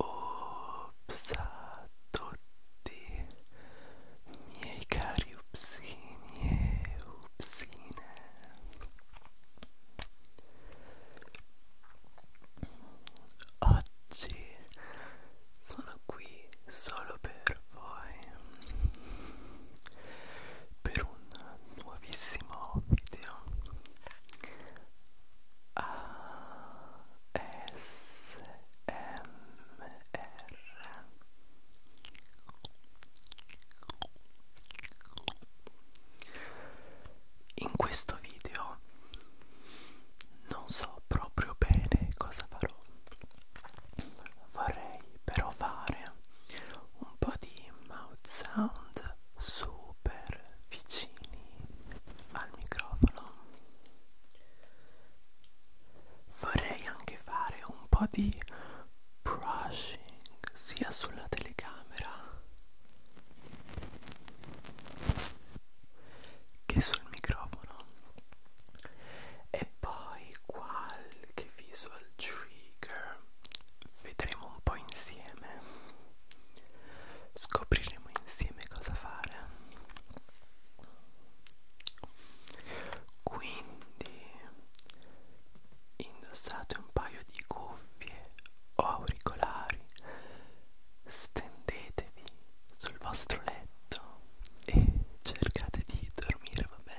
Ops a tutti miei cari upsini e upsine Oggi sono qui solo per voi per un nuovissimo video ASMR in questo video non so proprio bene cosa farò vorrei però fare un po' di mouth sound super vicini al microfono vorrei anche fare un po' di brushing sia sulla telecamera che sul microfono e poi qualche visual trigger vedremo un po' insieme scopriremo insieme cosa fare quindi indossate un paio di cuffie o auricolari stendetevi sul vostro letto letto e cercate di dormire, va bene?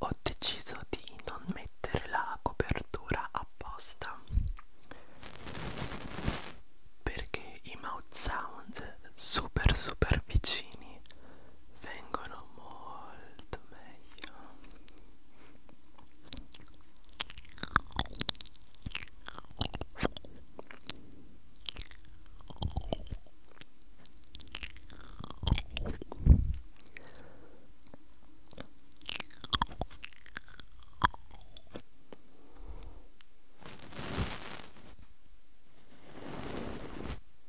Ho deciso di non mettere la copertura apposta perché i mouth sound super super vicini vengono molto meglio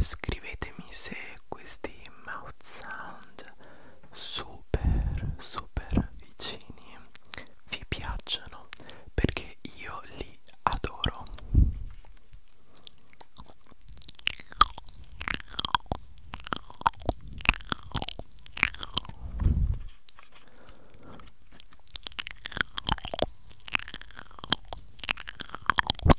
Scrivetemi se questi mouth sound super super vicini vi piacciono perché io li adoro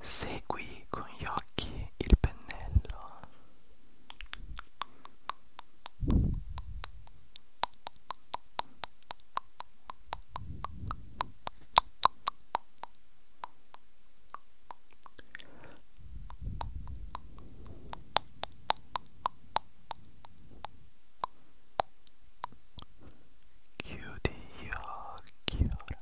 Segui con gli occhi il pennello. Chiudi gli occhi ora.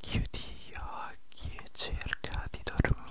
Chiudi gli occhi e cerca di dormire.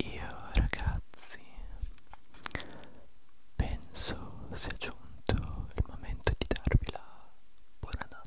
Io ragazzi penso sia giunto il momento di darvi la buonanotte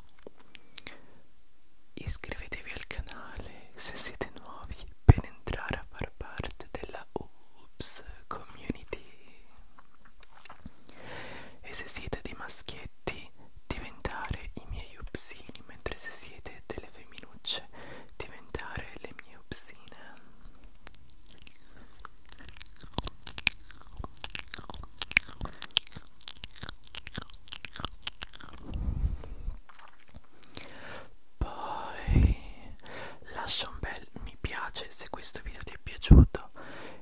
Iscrivetevi al canale se siete nuovi per entrare a far parte della Oops Community e se siete dei maschietti diventare i miei upsini mentre se siete delle femminucce diventare le mie upsine poi lascia un bel mi piace se questo video ti è piaciuto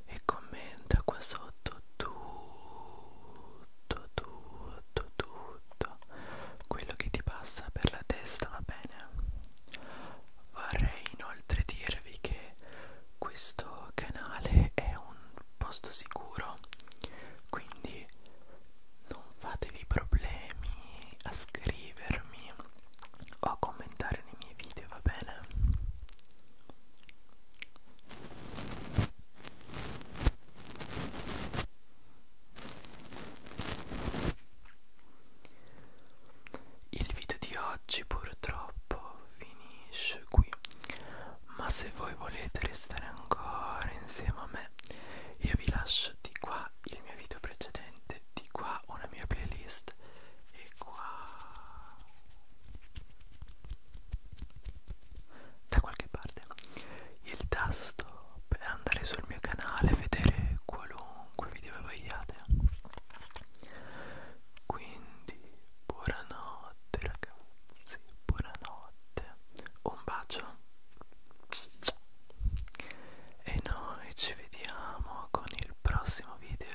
e commenta qua sotto tutto, tutto, tutto quello che ti passa per la testa, va bene? Vorrei inoltre dirvi che questo canale è un posto sicuro quindi non fatevi problemi a scrivermi o a commentare nei miei video va bene il video di oggi purtroppo finisce qui, ma se voi volete restare ancora insieme a me, io vi lascio di qua il mio video precedente, di qua una mia playlist e qua da qualche parte il tasto per andare sul mio canale e vedere qualunque video vogliate quindi buonanotte ragazzi, buonanotte, un bacio e noi ci vediamo con il prossimo video.